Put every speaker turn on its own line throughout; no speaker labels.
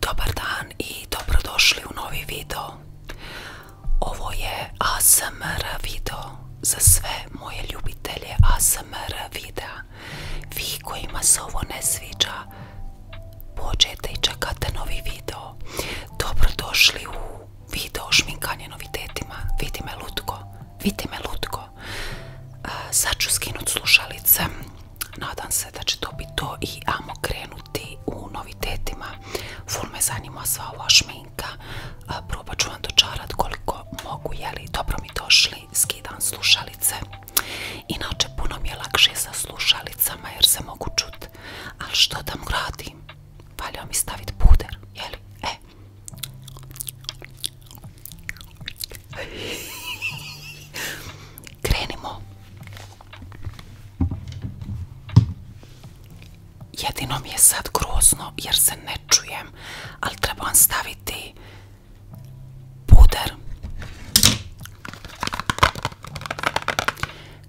Dobar dan i dobrodošli u novi video. Ovo je ASMR video za sve moje ljubitelje ASMR videa. Vi kojima se ovo ne sviđa, pođete i čekate novi video. Dobrodošli u video o šminkanje novitetima. Vidi me lutko, vidi me lutko. Sad ću skinut slušalice nadam se da će to biti to i amo krenuti u novitetima. Ful me zanima sva ova šminka, probat ću vam dočarati koliko mogu, jeli dobro mi došli, skidam slušalice. Inače puno mi je lakše sa slušalicama jer se mogu čuti. ali što tam radim? Valja mi staviti puder, jeli? E. Krenimo. Jedino mi je sad grozno jer se ne čujem, ali trebam staviti puder.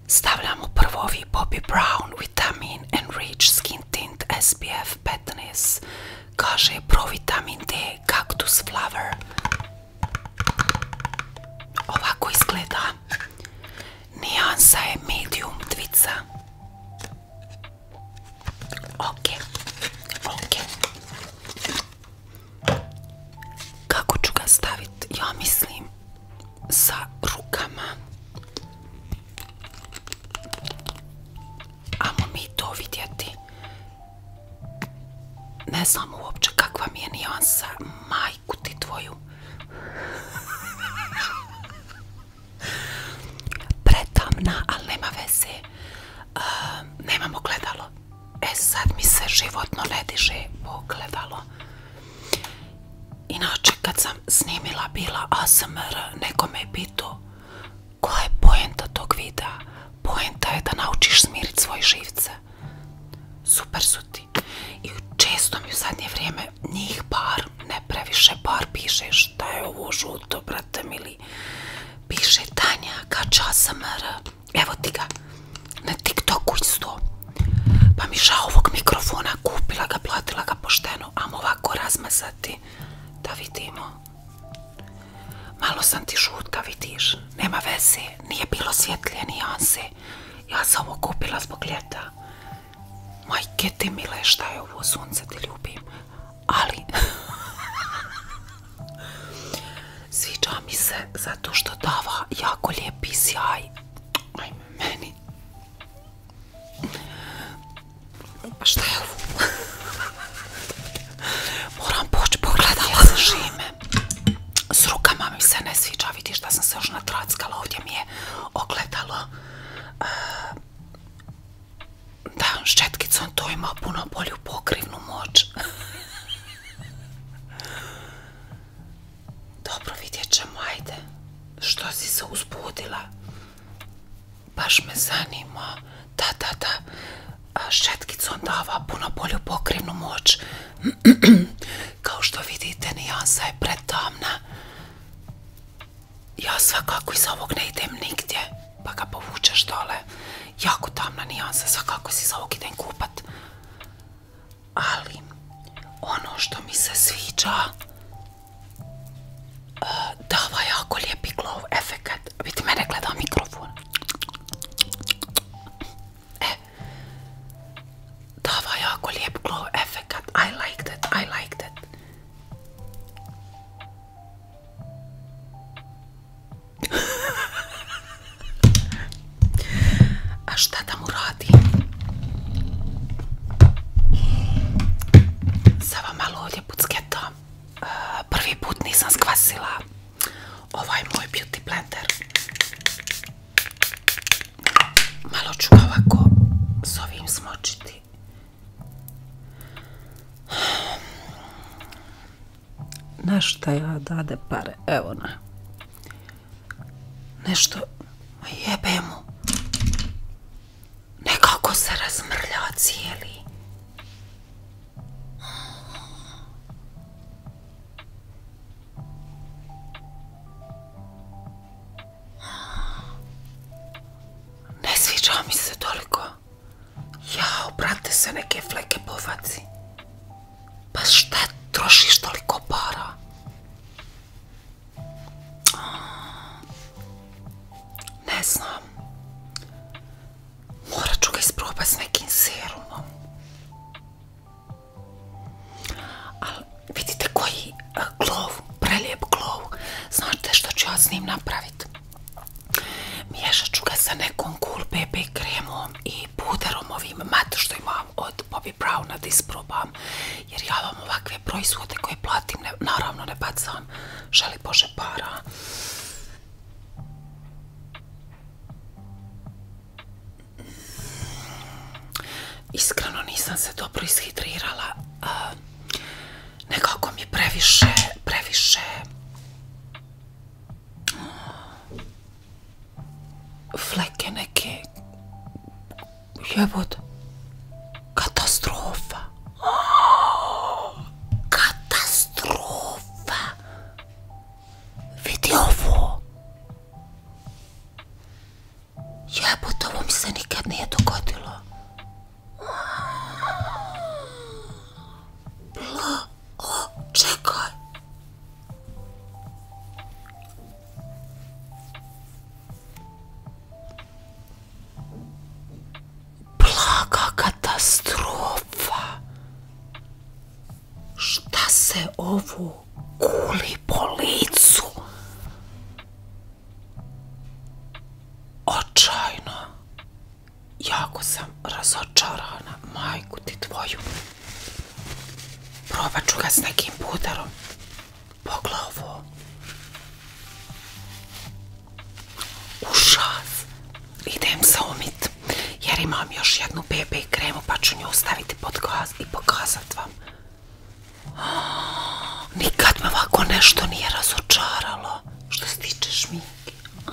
Stavljamo prvo ovi Bobbi Brown Vitamin Enriched Skin Tint SPF 15. Kaže Provitamin D Cactus Flower. Ovako izgleda. Nijansa je medium dvica. Ok, ok. Kako ću ga staviti? Ja mislim sa rukama. Amo mi to vidjeti ne znam uopće kakva mi je nijansa. Majku ti tvoju. Pretamna, ali nema veze. nemamo gledalo. E sad mi se životno ne diže pogledalo. Inače kad sam snimila bila ASMR, neko me je pitao koja je poenta tog videa. Poenta je da naučiš smirit svoj živce. Super su ti. I često mi u zadnje vrijeme njih par, ne previše par, piše šta je ovo žuto, brate mili. Piše Tanja Kača ASMR. Evo ti ga. Na TikToku isto. Pa mi ovog mikrofona kupila ga, platila ga pošteno. Amo ovako razmazati. Da vidimo. Malo sam ti žuta vidiš. Nema veze, nije bilo svjetlje nijanse. Ja sam ovo kupila zbog ljeta. Majke ti mile, šta je ovo, sunce ti ljubim. Ali... Sviđa mi se zato što dava jako lijepi sjaj. Ajme, meni. Pa šta je ovo? Moram poći pogledala sa šime s rukama mi se ne sviđa, vidiš da sam se još natrackala, ovdje mi je ogledalo eh, da, s četkicom to ima puno bolju pokrivnu moć dobro vidjet ćemo, ajde što si se uzbudila baš me zanima da, da, šetkicom dava puno bolju pokrivnu moć. Kao što vidite, nijansa je pretamna. Ja svakako iz ovog ne idem nigdje, pa ga povučeš dole. Jako tamna nijansa, svakako si iz ovog idem kupat. Ali, ono što mi se sviđa, e, dava jako lijepi glow efekt. Vidite, mene gleda mikrofon. Da, eh, ovo je ovaj jako lijep glow I like that, I like that. A šta da mu radi? Sada malo ovdje pucketo. Eh, prvi put nisam skvasila ovaj moj beauty blender malo ću ovako s ovim smočiti nešto ja dade pare evo nešto jebe mu nekako se razmrlja cijeli ne sviđa mi se toliko. ja brate, se neke fleke povaci. Pa šta trošiš toliko para? Ne znam. Morat ću ga isprobat s nekim serumom. Ali vidite koji e, glov, prelijep glov. Znate što ću ja s njim napraviti? Miješat ću ga sa nekom cool BB kremom i puderom ovim mat što imam od Bobbi Browna da isprobam. Jer ja vam ovakve proizvode koje platim naravno ne bacam. Želi Bože para. Iskreno nisam se dobro ishidrirala. Nekako mi previše, previše fleke neke jebod katastrofa katastrofa Vidi ovo. Jebote, ovo mi se nikad nije dogodilo. Bla, o, čekaj. Blaga katastrofa. Šta se ovu kuli po licu? Očajno. Jako sam razočarana, majku ti tvoju. Probat ću ga s nekim putarom, Pogled ovo idem se omit. jer imam još jednu BB kremu pa ću nju ostaviti pod i pokazat vam. Nikad me ovako nešto nije razočaralo što se tiče šminke.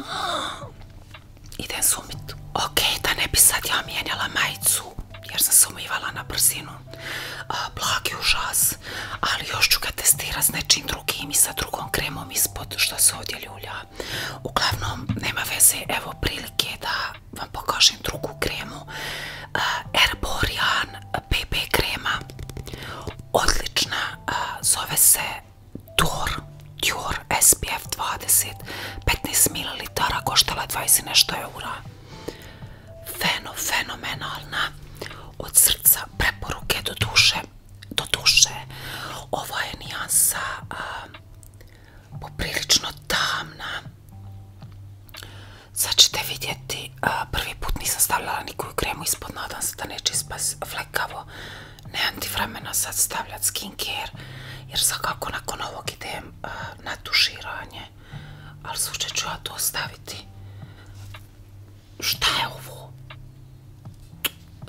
Idem se Okej, Ok, da ne bi sad ja mijenjala majicu jer sam se umivala na brzinu. Blagi užas, ali još ću ga testirati s nečim drugim i sa drugom kremom ispod što se ovdje ljulja. Uglavnom, nema veze, evo prilike da vam pokažem drugu kremu. Herborian BB krema. Odlična, zove se Dior, Dior SPF 20, 15 ml, koštala 20 nešto eura. fenomenalna, od srca preporuke do duše Doduše, duše ovo je nijansa poprilično tamna sad ćete vidjeti prvi put nisam stavljala nikoju kremu ispod nadam se da neće ispas flekavo nemam ti vremena sad stavljati care, jer svakako nakon ovog idem na tuširanje ali slučaj ću ja to ostaviti. šta je ovo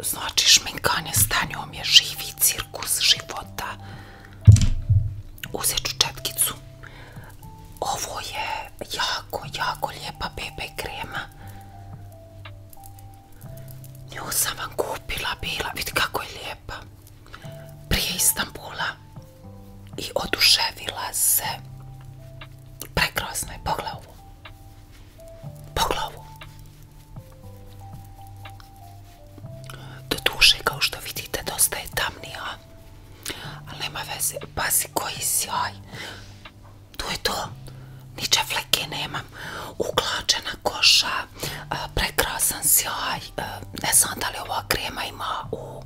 Znači šminkanje stanjom je živi cirkus života. Uzet ću četkicu. Ovo je jako, jako lijepa bebe krema. Nju sam vam kupila, bila, vidi kako je lijepa. Prije Istambula. I oduševila se. Prekrasno je, Poglavu. Do duše, kao što vidite, dosta je tamnija. Ali nema veze. Pazi koji sjaj. To je to. Niče fleke nemam. Uklačena koša. Prekrasan sjaj. Ne znam da li ova krema ima u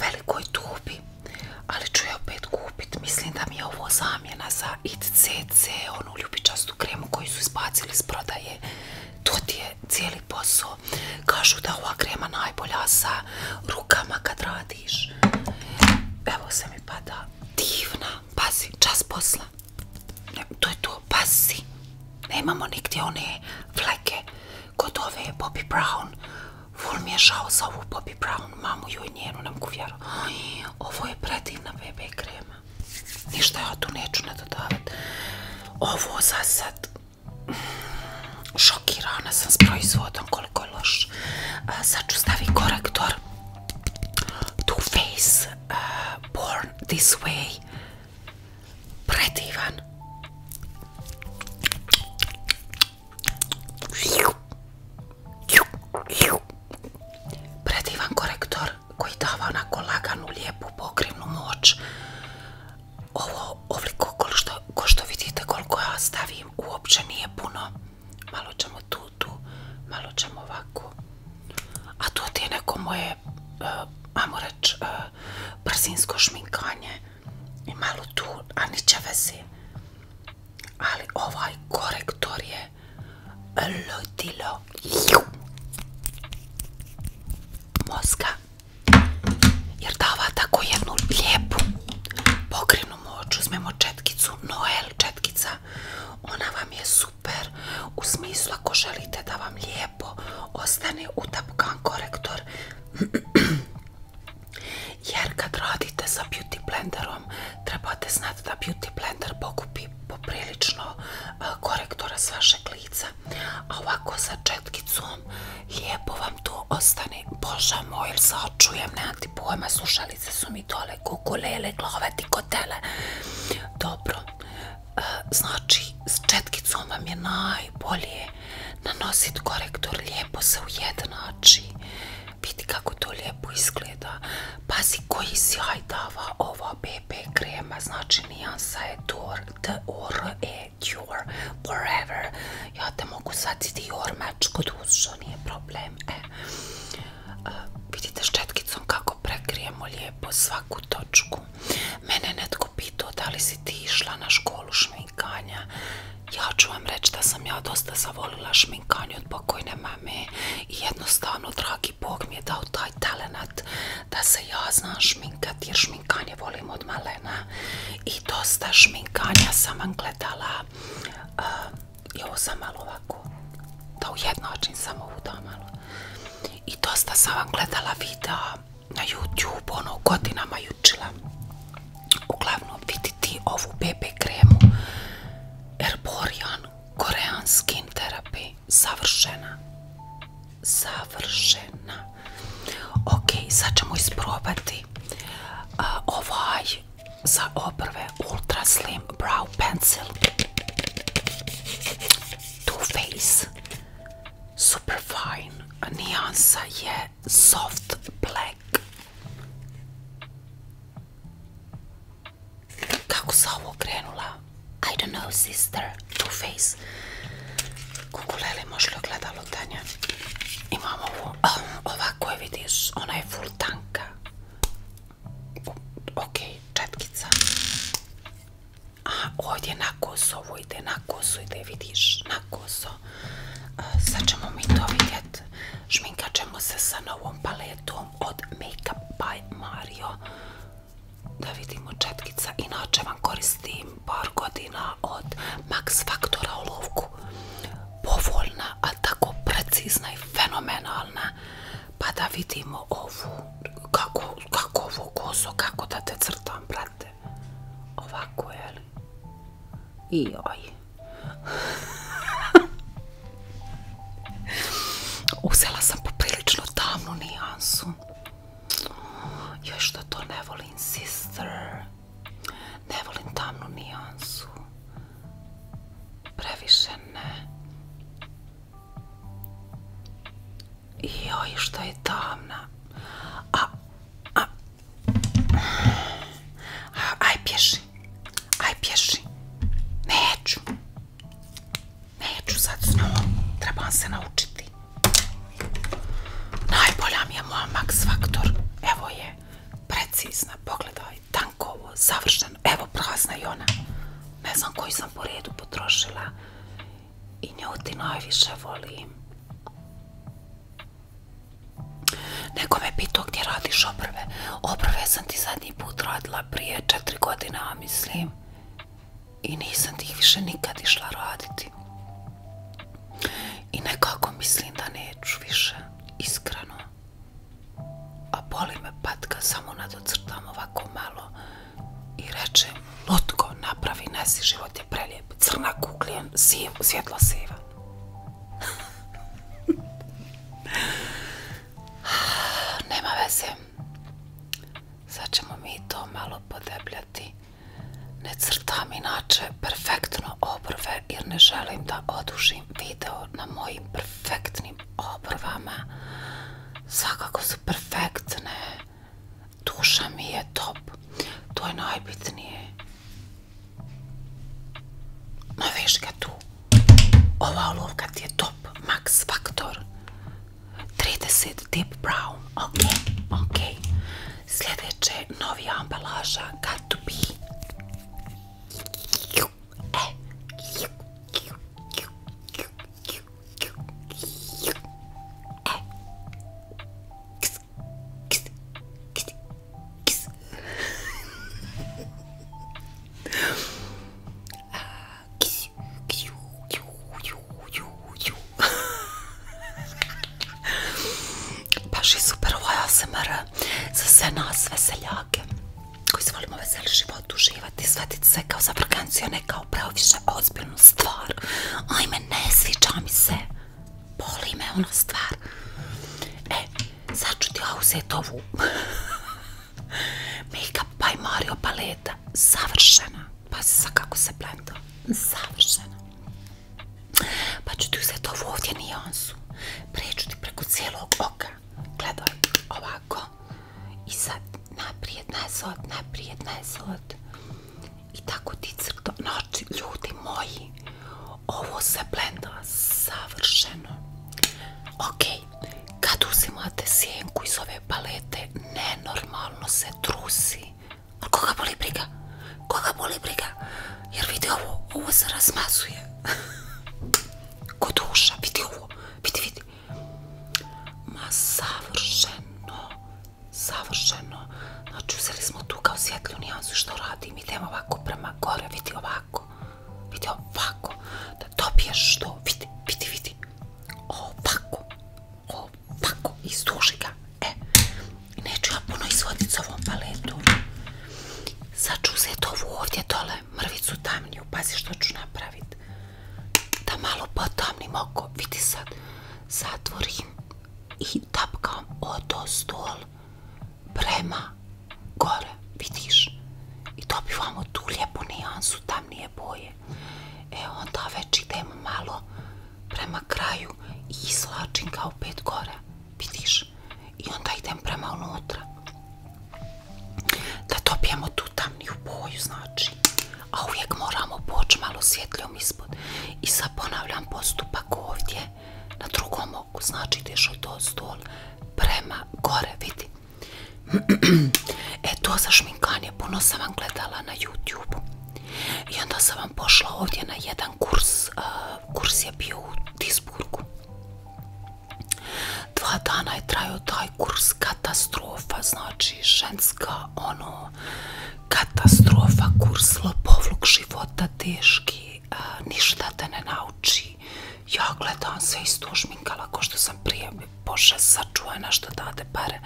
velikoj tubi. Ali ću je opet kupit. Mislim da mi je ovo za zamjena za ITCC, onu ljubičastu kremu koju su izbacili iz prodaje. To ti je cijeli posao. Kažu da ova krema najbolja sa rukama kad radiš. Evo se mi pada. Divna. Pasi, čas posla. To je to, pazi. Nemamo nigdje one fleke. Kod je Bobby Brown. Ful mi je žao za ovu Brown. Mamu ju i njenu, nam mogu Ovo je predivna bebe krema. Ništa ja tu neću nadodavati. Ovo za sad mm, šokirana sam s proizvodom koliko je loš. sad ću stavi korektor Too Faced Born This Way. Predivan. Predivan korektor koji dava onako laganu, lijepu, pokrivnu moć. Ovo ovliko ko što, vidite koliko ja stavim uopće nije puno. Malo ćemo tu, tu, malo ćemo ovako. A to ti je neko moje, e, ajmo reći, uh, brzinsko šminkanje. I malo tu, a niće vezi. Ali ovaj korektor je ludilo mozga jer dava tako jednu lijepu pokrenu moć uzmemo četkicu Noel četkica ona vam je super u smislu ako želite da vam lijepo ostane utapkan korektor jer kad radite sa beauty blenderom trebate znati da Beauty Blender pokupi poprilično korektora s vašeg lica, a ovako sa četkicom lijepo vam to ostane. Boža moj, jer se ti pojma, slušalice su mi dole, kukulele, glove ti kotele. Dobro, znači s četkicom vam je najbolje nanositi korektor, lijepo se ujednači. Vidi kako to lijepo izgleda. Pazi koji sjaj dava ova BB krema, znači nijansa je Dior, D-O-R-E, Dior, forever. Ja te mogu sad i Dior meč kod nije problem. E. E, vidite s vidite kako prekrijemo lijepo svaku točku. Mene netko pitao da li si ti išla na školu šminkanja. Ja ću vam reći da sam ja dosta zavolila šminkanju od pokojne mame i jednostavno dragi Bog mi je dao taj talenat da se ja znam šminkat jer šminkanje volim od malena i dosta šminkanja sam vam gledala i ovo sam malo ovako da ujednačim samo ovu da i dosta sam vam gledala videa na YouTube ono godinama jučila uglavnom viditi ovu BB kremu Erborian Korean Skin Therapy. završena Savršena. Ok, sad ćemo isprobati ovaj za obrve Ultra Slim Brow Pencil. to face Super Fine. Nijansa je Soft Black. Kako sam ovo krenula? I don't know sister, two face. Kukulele možeš li ogledalo Tanja? Imamo ovo, oh, ova vidiš, ona je full tanka. Ok, četkica. Aha, ovdje na kosu ovo ide, na kosu ide, vidiš, na kosu. Eh, sad ćemo mi to vidjet Šminkat ćemo se sa novom paletom od Makeup by Mario. Da vidimo četkica. Inače vam koristim par godina od Max u olovku. Povoljna, a tako precizna i fenomenalna. Pa da vidimo ovu, kako, kako ovu kako da te crtam, brate. Ovako, jel? I oj. Uzela sam poprilično tamnu nijansu. Jo što to ne volim, sister. Ne volim tamnu nijansu. Previše ne. Joj, što je tamna. a. Aj, pješi. Aj pješi. Neću. Neću sad s Trebam se naučiti. Najbolja mi je moja Evo je. Precizna. Pogledaj. Tankovo. Savršeno. Evo prazna i ona. Ne znam koju sam po redu potrošila. I nju ti najviše volim. Neko me pitao gdje radiš obrve. Obrve sam ti sad zadnji put radila prije četiri godina, mislim. I nisam ih više nikad išla raditi. I nekako mislim da neću više, iskreno. A boli me patka, samo nadocrtam ovako malo i reče lutko napravi nesi, život je prelijep, crna kuklija, svjetlo siva. Nema veze. Sad ćemo mi to malo podebljati. Ne crtam inače perfektno obrve jer ne želim da odužim video na mojim perfektnim obrvama. Svakako su perfektne. Duša mi je top. To je najbitnije. No viš tu. Ova olovka ti je top Max Factor 30 Deep Brown Ok, ok Sljedeće novija ambalaža Got to be e, e. Baš je super ovaj ASMR za sve nas veseljake koji se volimo veseli život, uživati, svetiti se kao za prekanciju, ne kao preoviše ozbiljnu stvar. Ajme, ne sviđa mi se. Boli me ona stvar. E, sad ću ti up by Mario paleta. Savršena. Pa sa kako se blenda. Savršena. Pa ću ti uzeti ovu ovdje nijansu. Preću ti preko cijelog oka. Gledaj ovako. I sad naprijed, od naprijed, nazad. I tako ti crto. noći znači, ljudi moji, ovo se blenda savršeno. Okej kad uzimate sjenku iz ove palete, ne nenormalno se trusi. koga boli briga? Koga boli briga? Jer vidi ovo, ovo se razmazuje. Kod duša, vidi ovo, vidi, vidi. Ma savršeno, savršeno. Znači uzeli smo tu kao svjetlju nijansu što radim. Idemo ovako prema gore, vidi ovako vidi ovako, da dobiješ što, vidi, vidi, vidi, ovako, ovako, istuži ga, e, neću ja puno izvoditi s ovom paletom, sad ću se ovu ovdje dole, mrvicu tamniju, pazi što ću napraviti, da malo potamnim oko, vidi sad, zatvorim i tapkam odo stol prema gore, vidiš, i dobivamo tu lijepu nijansu tamnije boje. E onda već idemo malo prema kraju i izlačim ga opet gore, vidiš, i onda idem prema unutra. Da dobijemo tu tamniju boju, znači, a uvijek moramo poći malo svjetljom ispod. I sad ponavljam postupak ovdje, na drugom oku, znači ideš od prema gore, vidi, E to za šminkanje puno sam vam gledala na YouTube. I onda sam vam pošla ovdje na jedan kurs. Kurs je bio u Tisburgu. Dva dana je trajao taj kurs katastrofa, znači ženska ono katastrofa, kurs lopovluk života teški, ništa te ne nauči, ja gledam se istušminkala ko što sam prije bože sačuvana što date pare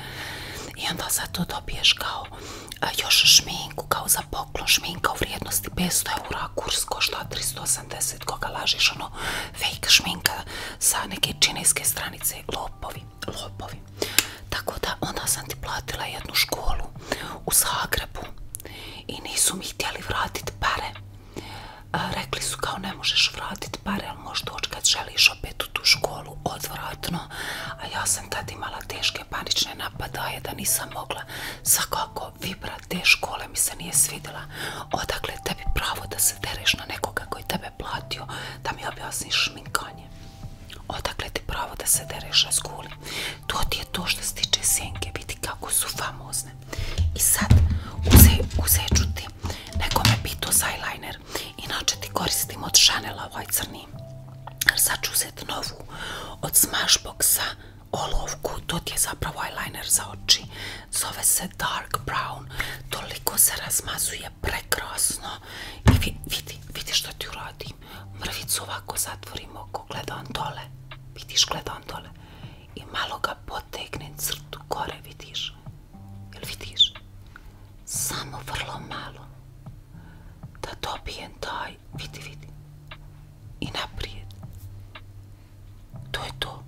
i onda za to dobiješ kao e, još šminku kao za poklon šminka u vrijednosti 500 eura kurs košta 380 koga lažiš ono fake šminka sa neke čineske stranice lopovi, lopovi tako da onda sam ti platila jednu školu u Zagrebu i nisu mi htjeli vratiti pare Rekli su kao ne možeš vratiti pare, ali možeš doći kad želiš opet u tu školu, odvratno. A ja sam tad imala teške panične napadaje da nisam mogla. Svakako, vibra te škole mi se nije svidjela. Odakle tebi pravo da se dereš na nekoga koji tebe platio, da mi objasniš šminkanje. Odakle ti pravo da se dereš na skuli. To ti je to što se tiče senke, vidi kako su famozne. I sad uzet ću ti, nekome me pitao za eyeliner, inače ti koristim od šanela ovaj crni. Sad ću uzeti novu od Smashboxa olovku, to ti je zapravo eyeliner za oči. Zove se Dark Brown, toliko se razmazuje prekrasno. I vidi, vidi što ti uradim. Mrvicu ovako zatvorim oko, gledam dole. Vidiš, gledam dole. I malo ga po Tegne crtu gore, vidiš? Jel vidiš? Samo vrlo malo. Da dobijem taj, vidi, vidi. I naprijed. To je to.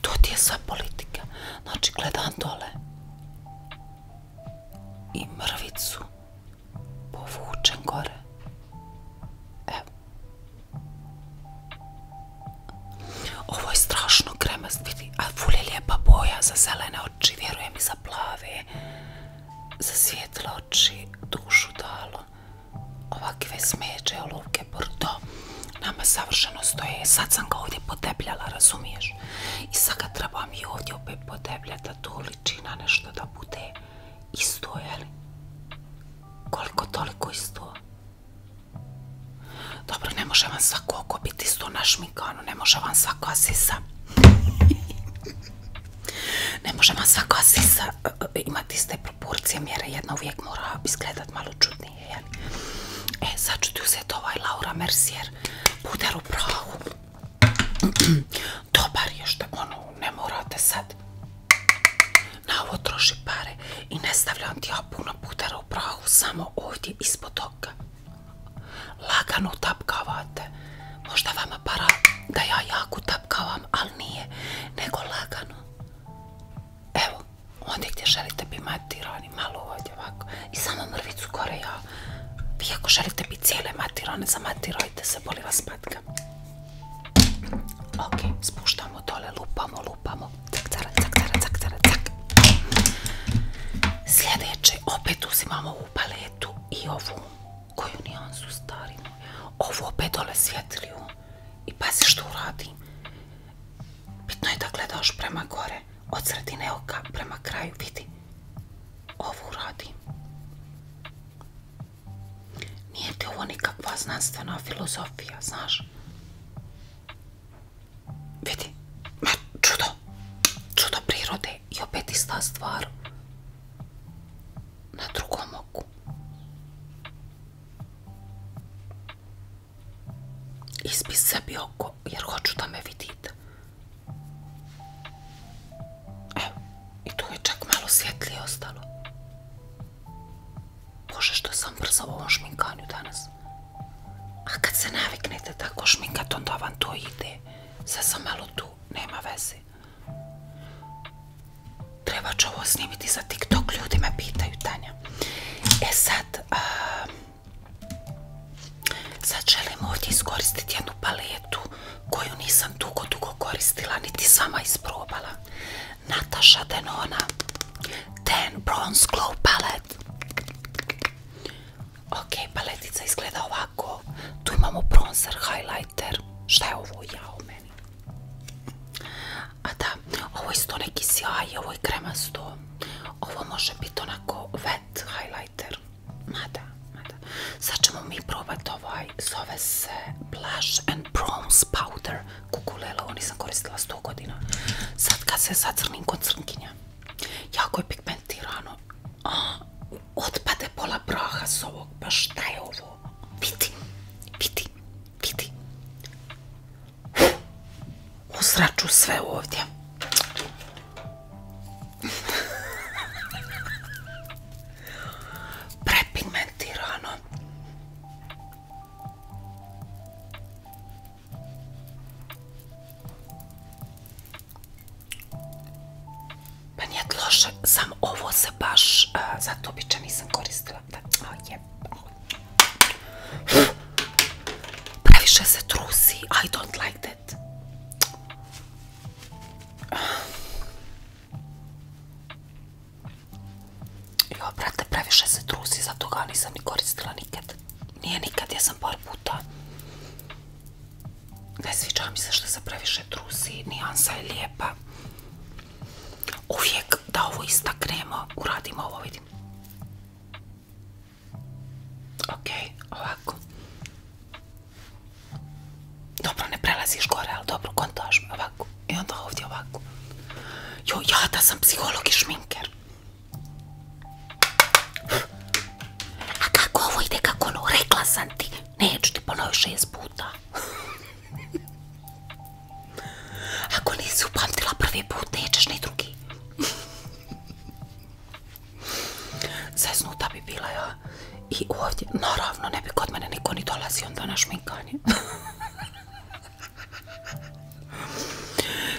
To ti je sva politika. Znači, gledam dole. I mrvicu povučem gore. Evo. Ovo je strašno kremast, vidi, a ful je lijepa boja za zelene oči, vjerujem i za plave, za svijetle oči, dušu dalo. Ovakve smeđe, olovke, bordo, nama savršeno stoje. Sad sam ga ovdje podebljala, razumiješ? I sad ga trebam i ovdje opet podebljati, da to liči na nešto da bude isto, jel? Koliko toliko isto. Dobro, ne može vam svako oko biti isto ne može vam svaka sisa. ne može vam sisa e, e, e, imati iste proporcije mjere, jedna uvijek mora izgledat malo čudnije, jel? E, sad ću ti uzeti ovaj Laura Mercier puder u prahu. Dobar je što ono, ne morate sad na ovo troši pare i ne stavljam ti ja puno putera u prahu, samo ovdje ispod oka. Lagano tapkavate. Možda vama para da ja jako tapkavam, ali nije, nego lagano. Evo, onda gdje želite bi matirani, malo ovdje ovako. I samo mrvicu gore ja. Vi ako želite biti cijele matirane, zamatirajte se, boli vas Ok, spuštam samo dole lupamo, lupamo. Cak, cara, cak, cara, cak, cara, Sljedeće, opet uzimamo ovu paletu i ovu, koju nijansu starinu. Ovu opet dole svjetliju. I pazi što uradi Bitno je da gledaš prema gore, od sredine oka prema kraju, vidi. Ovo uradi Nije ti ovo nikakva znanstvena filozofija, znaš? Vidi, ma čudo, čudo prirode i opet ista stvar na drugom oku. Ispi sebi oko jer hoću da me vidite. Evo, i tu je čak malo svjetlije ostalo. Bože što sam brzo u ovom danas. A kad se naviknete tako šminkat onda vam to ide. Sad sam malo tu, nema veze. Treba ću ovo snimiti za TikTok, ljudi me pitaju Tanja. E sad, sad želim ovdje iskoristiti jednu paletu koju nisam dugo dugo koristila, niti sama isprobala. Nataša Denona Ten Bronze Glow Palette Ok, paletica izgleda ovako Tu imamo bronzer, highlighter Šta je ovo? u meni A da, ovo je isto neki sjaj Ovo je kremasto Ovo može biti onako wet highlighter ma da. Sad ćemo mi probati ovaj Zove se Blush and Bronze Powder Kukulelo ovo nisam koristila 100 godina. Sad kad se zacrnim kod crnkinja, jako je pigmentirano. otpade pola praha s ovog, pa šta je ovo? Vidi, vidi, vidi. Usraču sve ovdje. Prepigmentirano. Pa nije loše, sam ovo se baš, e, Zato za nisam koristila. Peše Previše se trusi, I don't like that. Jo, brate, previše se trusi, zato ga nisam ni koristila nikad. Nije nikad, ja sam par puta. Ne sviđa mi se što se previše trusi, nijansa je lijepa. Uvijek da ovo istaknemo, uradimo ovo, vidim. Ok, ovako. Dobro, ne prelaziš gore, ali dobro, kontaž ovako. I onda ovdje ovako. Jo, ja da sam psiholog i šminker. A kako ovo ide, kako ono, rekla sam ti. Neću ti ponoviti šest puta. Ako nisi upamtila prvi put, nećeš ni drugi. Zeznuta bi bila ja. I ovdje, naravno, ne bi kod mene niko ni dolazio onda na šminkanje.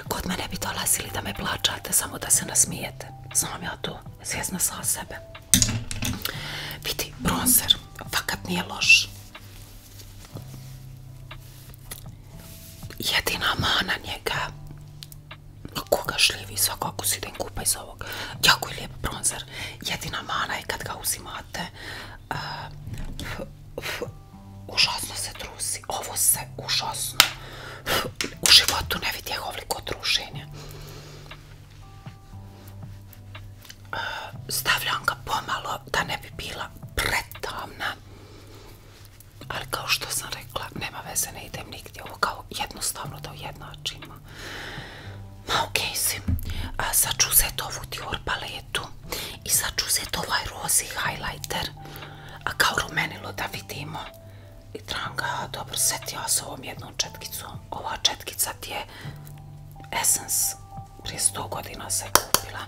Kod mene bi dolazili da me plačate, samo da se nasmijete. Samo ja tu svjesna sa sebe. Vidi, bronzer, fakat nije loš. Jedina mana njega, koga šljivi svakako si idem kupa iz ovog. Jako je lijep bronzer. Jedina mana je kad ga uzimate, užasno se trusi. Ovo se užasno u životu ne vidjeh ovoliko trušenja. Stavljam ga pomalo da ne bi bila pretamna. Ali kao što sam rekla, nema veze, ne idem nigdje. Ovo kao jednostavno da ujednačimo. Ma okej sa si. Sad ću ovu Dior paletu i sad ću uzeti ovaj rozi highlighter a kao rumenilo da vidimo i ga dobro ja s ovom jednom četkicom ova četkica ti je Essence prije 100 godina se kupila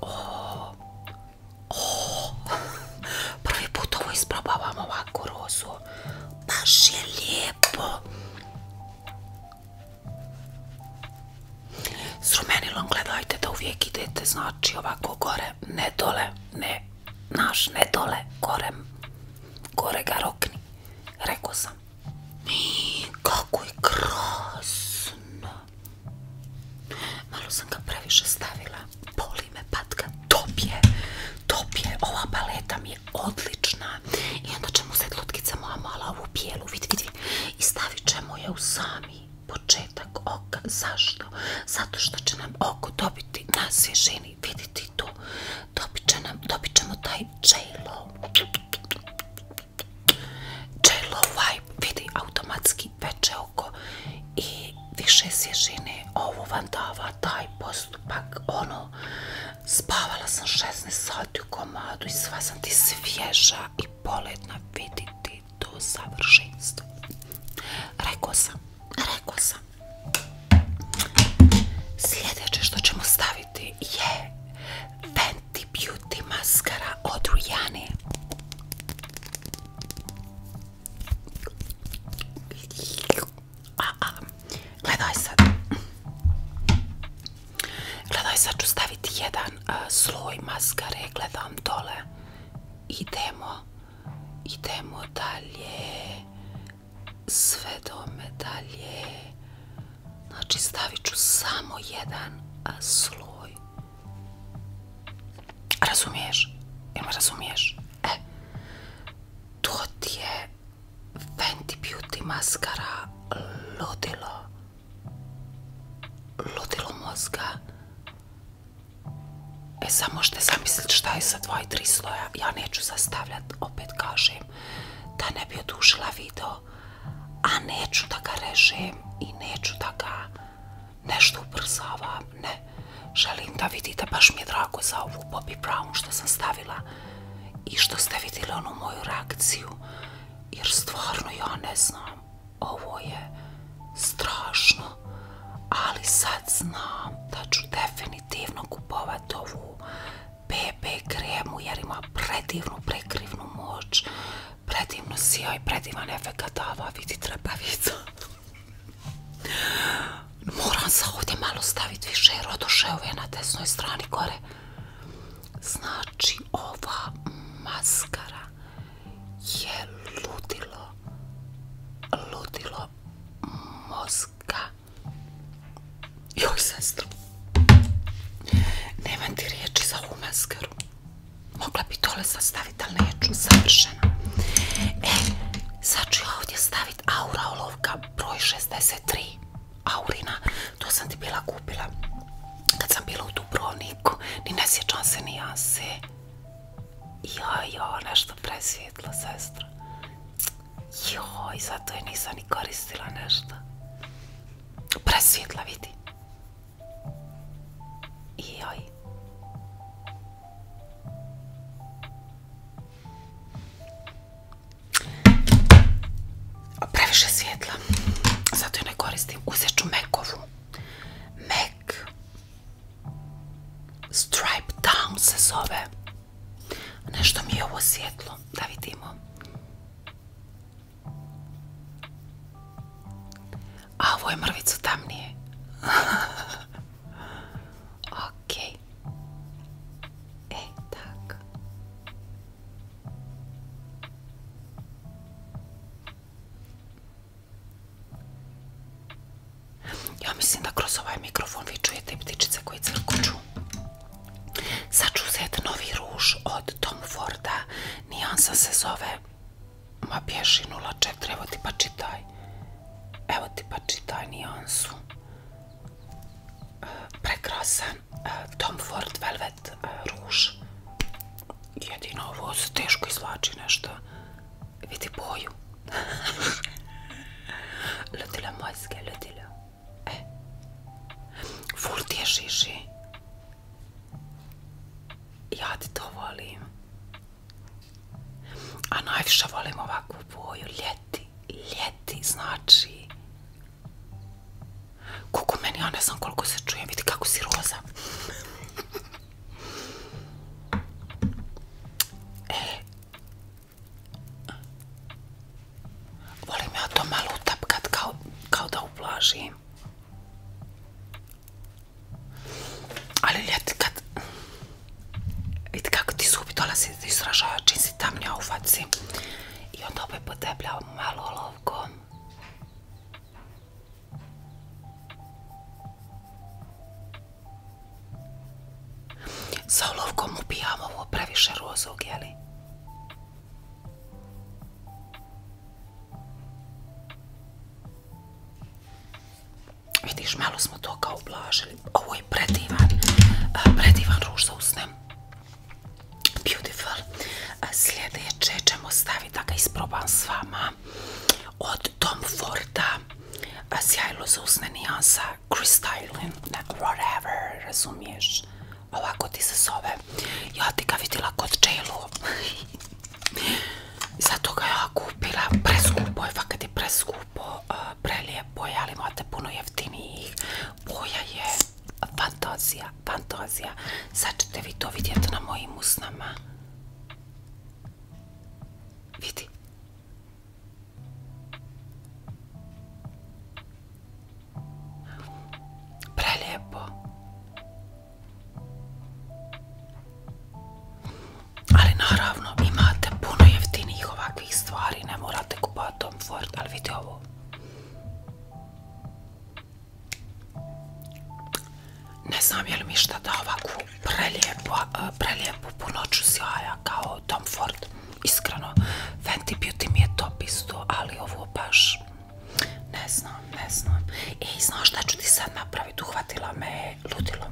oh, oh. prvi put ovo isprobavam ovako rozu je lijepo. S rumenilom gledajte da uvijek idete, znači ovako gore, ne dole, ne, naš, ne dole, gore, gore ga rokni, rekao sam. I, kako je krasno. Malo sam ga previše stavila, boli patka, top je, ova paleta mi je odlična i onda ćemo se lutkica moja mala ovu bijelu, vidi, i stavit ćemo je u sami početak oka, zašto? Zato što će nam oko dobiti na svježini, vidite tu, dobit, će nam, ćemo taj j vibe, vidi, automatski peče oko i više svježine, ovo vam dava taj post pak ono, spavala sam 16 sati u komadu i sva sam ti svježa i poletna viditi do savršenstva. Rekao sam, Sljedeće što ćemo staviti je Fenty Beauty maskara od Rujane. A, gledaj sad. Gledaj sad ću staviti jedan e, sloj maskare, gledam dole. Idemo, idemo dalje. Sve dome dalje. Znači stavit ću samo jedan e, sloj. Razumiješ? razumiješ? E, to ti je Fenty Beauty maskara ludilo. Ludilo mozga. E sad možete zamislit šta je sa dva i 3 sloja. Ja neću sastavljat, opet kažem, da ne bi odušila video. A neću da ga režem i neću da ga nešto ubrzavam. Ne, želim da vidite, baš mi je drago za ovu Bobby Brown što sam stavila i što ste vidjeli onu moju reakciju, jer stvarno ja ne znam, ovo je strašno, ali sad znam da ću definitivno kupovati ovu BB kremu jer ima predivnu prekrivnu moć, predivno sjaj, predivan efekt dava, vidi vidjeti. Moram se ovdje malo staviti više je na desnoj strani gore. Znači ova maskara je ludilo, ludilo mozga. Joj, sestru, nemam ti riječi za ovu maskaru. Mogla bi tole sastaviti, ali neću, savršena. E, sad ću ja ovdje staviti Aura olovka broj 63 Aurina, to sam ti bila kupila kad sam bila u Dubrovniku, ni ne sjećam se ni Ja, joj, nešto presvjetlo, sestra. Joj, zato je nisam ni koristila nešto. Presvjetla, vidi. Joj. Previše svjetla, zato ju ne koristim. Uzet ću mekovu. Mac Stripe Down se zove. Nešto mi je ovo svjetlo, da vidimo. A ovo je mrvicu tamnije. Okej E tak. Ja mislim da kroz ovaj mikrofon vi čujete ptičice koje crkuću. Sad ću uzeti novi ruž od Tom Forda. Nijansa se zove. Ma pješi 04. Evo ti pa čitaj. Evo ti pa čitaj nijansu prekrasan eh, Tom Ford Velvet eh, ruž. Jedino ovo se teško izvlači nešto. Vidi boju. Ludilo mojske, ludilo. E. Ful ti je šiši. Ja ti to volim. A najviše volim ovakvu boju, ljeti ljeti, znači kuku meni, ja ne znam koliko se čuje, vidi kako si roza. E. volim ja to malo utapkat kao, da uplažim. Ali ljeti kad Vidite kako ti zubi dolazi da izražava čim si tamnija u faci. I onda opet potepljao malo olovkom. Sa olovkom upijam ovo previše rozog, jeli? Vidiš, malo smo to kao ublažili. Ovo je predivan, predivan ruž za usne. Beautiful. Sljedeće ćemo staviti da ga isprobam s vama. Od Tom Forda. Sjajlo za usne nijansa. Crystalline. Whatever, razumiješ. Ovako ti se zove. Ja ti ga vidjela kod Čelu. Zato ga ja kupila. Preskupo je, fakat je preskupo je, ali imate puno jeftinijih. Boja je fantazija, fantazija. Sad ćete vi to vidjeti na mojim usnama. Vidi. Prelijepo. Ali naravno imate puno jeftinijih ovakvih stvari, ne morate kupovati Tom Ford, ali vidite ovo. Ne znam je li mi šta da ovakvu prelijepu, punoću sjaja kao Tom Ford. Iskreno, Fenty Beauty mi je to isto, ali ovo baš ne znam, ne znam. I znaš šta ću ti sad napraviti? Uhvatila me ludilo.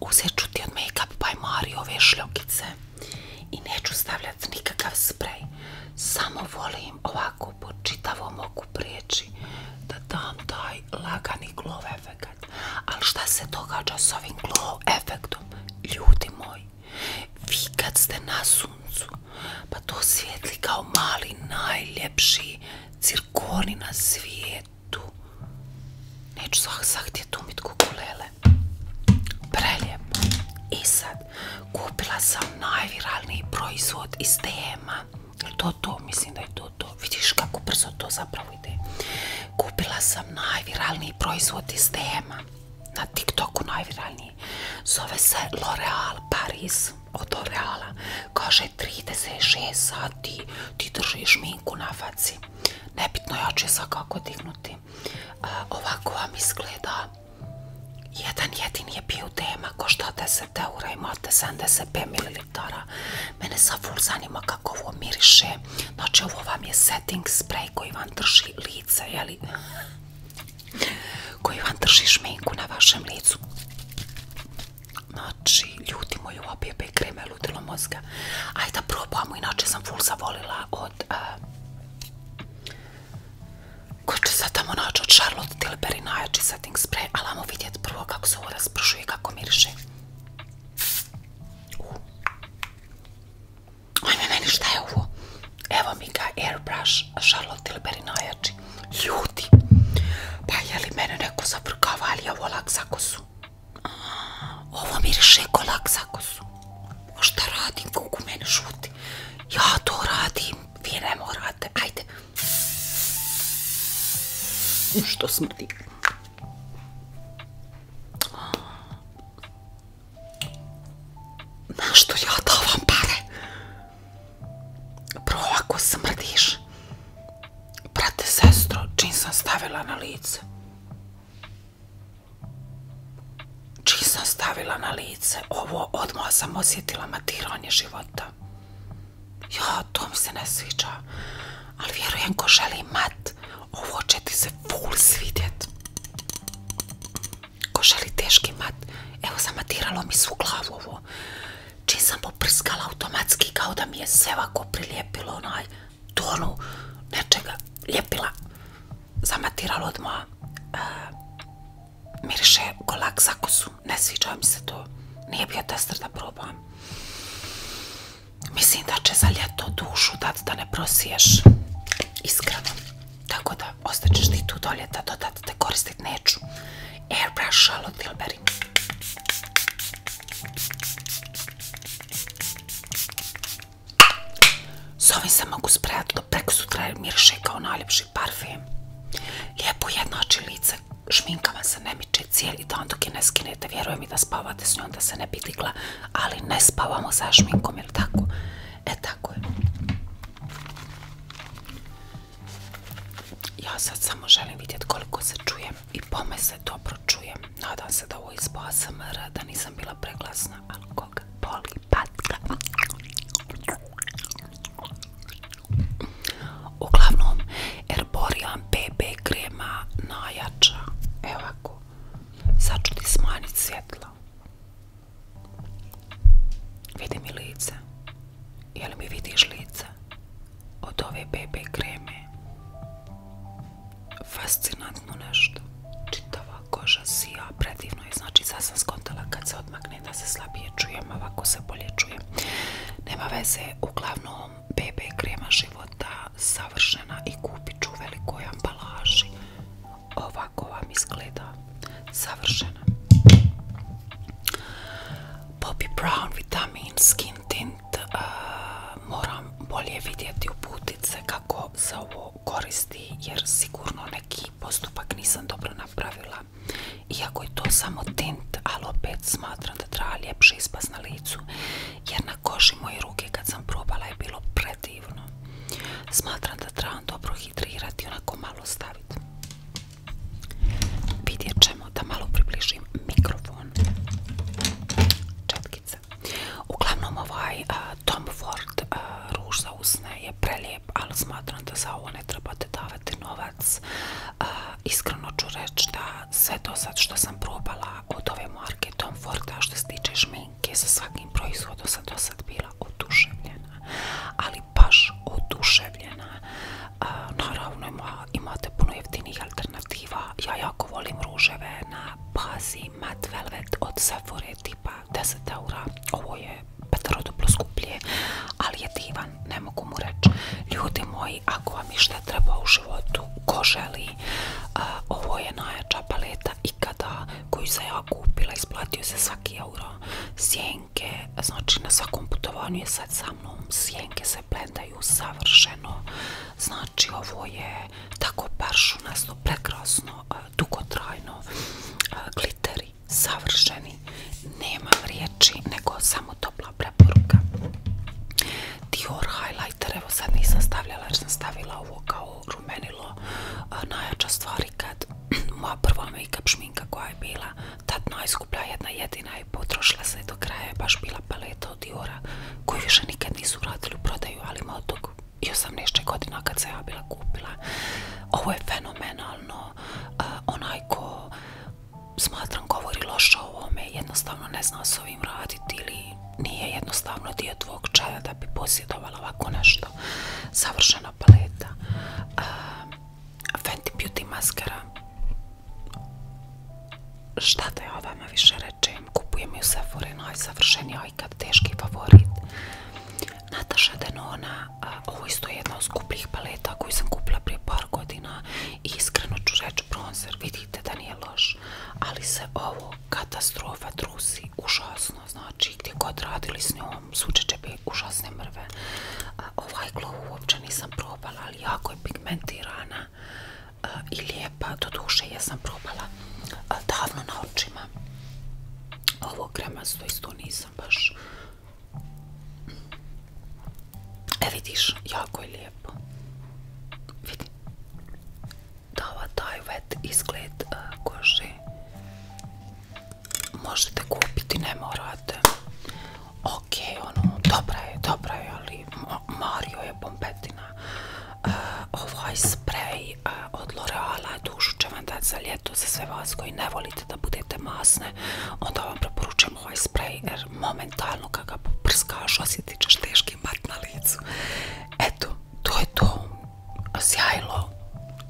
Uzet ću ti od Up by Mario ove šljokice i neću stavljati nikakav sprej. Samo volim ovako po čitavom mogu prijeći da dam taj lagani glow efekt. Ali šta se događa s ovim glow efektom? Ljudi moji, vi kad ste na suncu, pa to svijetli kao mali najljepši cirkoni na svijetu tu. Neću svak zahtjeti umit kukulele. Prelijepo. I sad, kupila sam najviralniji proizvod iz tema. To to, mislim da je to to. Vidiš kako brzo to zapravo ide. Kupila sam najviralniji proizvod iz tema. Na TikToku najviralniji. Zove se L'Oreal Paris od L'Oreala. Kaže 36 sati ti držiš minku na faci. Nebitno, ja ću je svakako dignuti. ovako vam izgleda. Jedan jedini je bio tema, košta 10 eura, imate 75 ml. Mene za ful zanima kako ovo miriše. Znači, ovo vam je setting spray koji vam drži lice, li koji vam drži šminku na vašem licu. Znači, ljudi moji, ova bebe i mozga. Ajde da probamo, inače sam full zavolila od... Eh, ko će tamo naći od Charlotte Tilbury najjači setting spray, ali ajmo vidjeti prvo kako se ovo raspršuje i kako miriše. Ajme, meni šta je ovo? Evo mi ga, airbrush Charlotte Tilbury najjači. Ljudi, pa je li mene neko zavrkava, ali je ovo lak za kosu. Ovo miriše ko Šta radim, kako mene šuti? Ja to radim, vi ne morate, ajde. Što smrdi? Znaš što ja davam pare? Bro, ako smrdiš, Prate sestro, čim sam stavila na lice. Čim sam stavila na lice, ovo odmah sam osjetila matiranje života. Ja, to mi se ne sviđa. Ali vjerujem ko želi mat, ovo će ti se ful svidjet. Ko želi teški mat, evo matiralo mi svu glavu ovo. Čim sam poprskala automatski kao da mi je sve ovako prilijepilo onaj tonu nečega ljepila zamatiralo od moja e, miriše kolak za kosu ne sviđa mi se to nije bio tester da probam mislim da će za ljeto dušu dat da ne prosiješ iskreno tako da ostaćeš ti tu dolje da dodat te koristit neću airbrush Charlotte Tilbury s ovim se mogu sprejati do preko sutra jer miriše kao najljepši parfem. Lijepo jednači lice, šminka vam se ne miče cijeli dan dok je ne skinete. Vjerujem i da spavate s njom da se ne bi digla, ali ne spavamo sa šminkom, jel tako? E tako je. Ja sad samo želim vidjeti koliko se čuje i pome se dobro čujem. Nadam se da ovo izba ASMR, da nisam bila preglasna, ali koga boli patka. Uglavnom, Herborian BB krema najjača. Evo ako, sad ću ti smanjiti svjetlo. Vidi mi lice. Je li mi vidiš lice? od ove bebe kreme. Fascinantno nešto. Čitava koža sija, predivno je. Znači sad sam skontala kad se odmakne da se slabije čujem, ovako se bolje čujem. Nema veze, uglavnom BB krema života savršena i kupit ću u velikoj ambalaži. Ovako vam izgleda savršena. Poppy Brown Vitamin Skin Tint moram bolje vidjeti uputice kako se ovo koristi jer sigurno neki postupak nisam dobro napravila. Iako je to samo tint, ali opet smatram da treba ljepši ispas na licu jer na koži moje ruke kad sam probala je bilo predivno. Smatram da trebam dobro hidrirati, onako malo staviti. Vidjet da malo približim mikrofon četkice uglavnom ovaj Tom Ford ruž za usne je prelijep ali smatram da za ovo ne trebate davati novac iskreno ću reći da sve do sad što sam probala od ove marke Tom Forda što se tiče šminke sa svakim proizvodom sam do sad bila oduševljena ali baš oduševljena naravno imate puno jeftinih ja jako volim ruževe na bazi mat velvet od Sephora tipa 10 eura. Ovo je petaroduplo skuplje, ali je divan, ne mogu mu reći. Ljudi moji, ako vam išta treba u životu, ko želi, uh, ovo je najjača paleta ikada koju sam ja kupila, isplatio se svaki euro. Sjenke, znači na svakom putovanju je sad sa mnom, sjenke se blendaju savršeno Znači ovo je tako paršunasno, prekrasno, e, dugotrajno, e, gliteri, savršeni, nema riječi nego samo topla preporuka. Dior highlighter, evo sad nisam stavljala jer sam stavila ovo kao rumenilo, e, najjača stvari kad moja prva make šminka koja je bila tad najskuplja jedna jedina potrošila se do kraja baš bila paleta od Diora koju više nikad nisu vratili u prodaju, ali ima od tog 18 godina kad se ja bila kupila. Ovo je fenomenalno. onaj ko smatram govori loše o ovome, jednostavno ne zna s ovim raditi ili nije jednostavno dio tvog čaja da bi posjedovala ovako nešto. Savršena paleta. Fenty Beauty maskara Šta da vama više rečem? Kupujem ju Sephora, savršeni ajkat, teški favorit. Nataša Denona, ovo isto je jedna od skupljih paleta koju sam kupila prije par godina i iskreno ću reći bronzer, vidite da nije loš, ali se ovo katastrofa trusi, užasno, znači gdje god radili s njom, suče će bi užasne mrve. Ovaj glow uopće nisam probala, ali jako je pigmentirana, i lijepa, do duše ja sam probala davno na očima ovo kremasto isto nisam baš e vidiš, jako je lijepo vidi dava taj wet izgled kože možete kupiti, ne morate ok, ono, dobra je, dobra je ali Mario je bombetina ovo e, ovaj sprej e, od L'Oreala dušu će vam dati za ljeto za sve vas koji ne volite da budete masne onda vam preporučujem ovaj sprej jer momentalno kada ga prskaš osjetit ćeš teški mat na licu eto, to je to sjajlo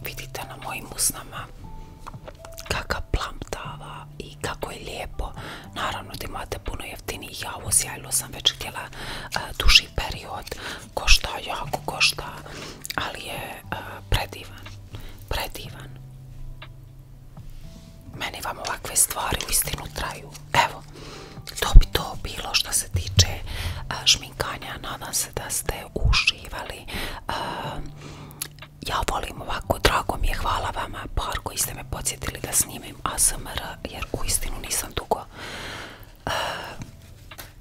vidite na mojim usnama kakav plamtava i kako je lijepo naravno ti imate puno je ja ovo sjajlo sam već htjela e, duži period, košta jako, košta, ali je e, predivan, predivan. Meni vam ovakve stvari u istinu traju. Evo, to bi to bilo što se tiče uh, šminkanja, nadam se da ste uživali. ja volim ovako, drago mi je, hvala vama par koji ste me podsjetili da snimim ASMR jer uistinu nisam dugo eh,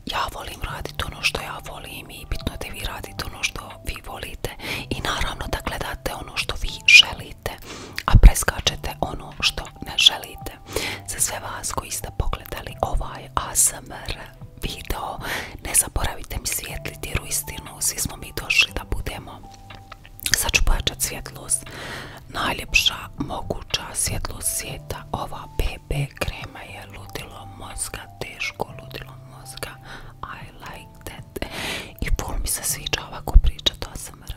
ja volim raditi ono što ja volim i bitno da vi radite ono što vi volite i naravno da gledate ono što vi želite a preskačete ono što ne želite za sve vas koji ste pogledali ovaj ASMR video ne zaboravite mi svijetliti jer istinu svi smo mi došli da budemo Sad ću pojačati svjetlost. Najljepša moguća svjetlost svijeta. Ova BB krema je ludilo mozga, teško ludilo mozga. I like that. I pol mi se sviđa ovako to o ASMR.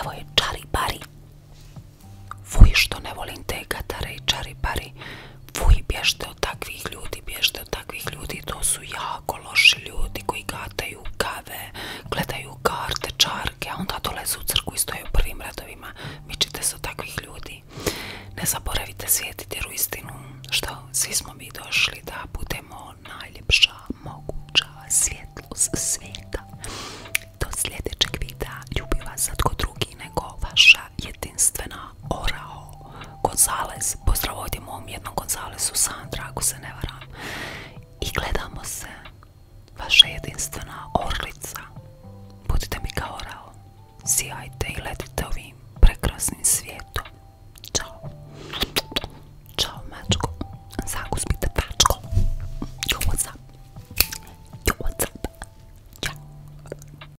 Evo je čaribari. Fuj što ne volim te gatare i čaribari fuj bježte od takvih ljudi, bježte od takvih ljudi, to su jako loši ljudi koji gataju kave, gledaju karte, čarke, a onda dolaze u crku i stoje u prvim radovima, ćete se od takvih ljudi. Ne zaboravite svijetiti jer u istinu, što, svi smo mi došli da budemo najljepša moguća svjetlost svijeta. Do sljedećeg videa, ljubi vas sad drugi nego vaša jedinstvena orao Gonzales, pozdrav ovdje jednog jednom Gonzalesu Sandra ako se ne varam i gledamo se vaša jedinstvena orlica budite mi kao orao sijajte i letite ovim prekrasnim svijetom čao čao mačko zakuspite mačko jo what's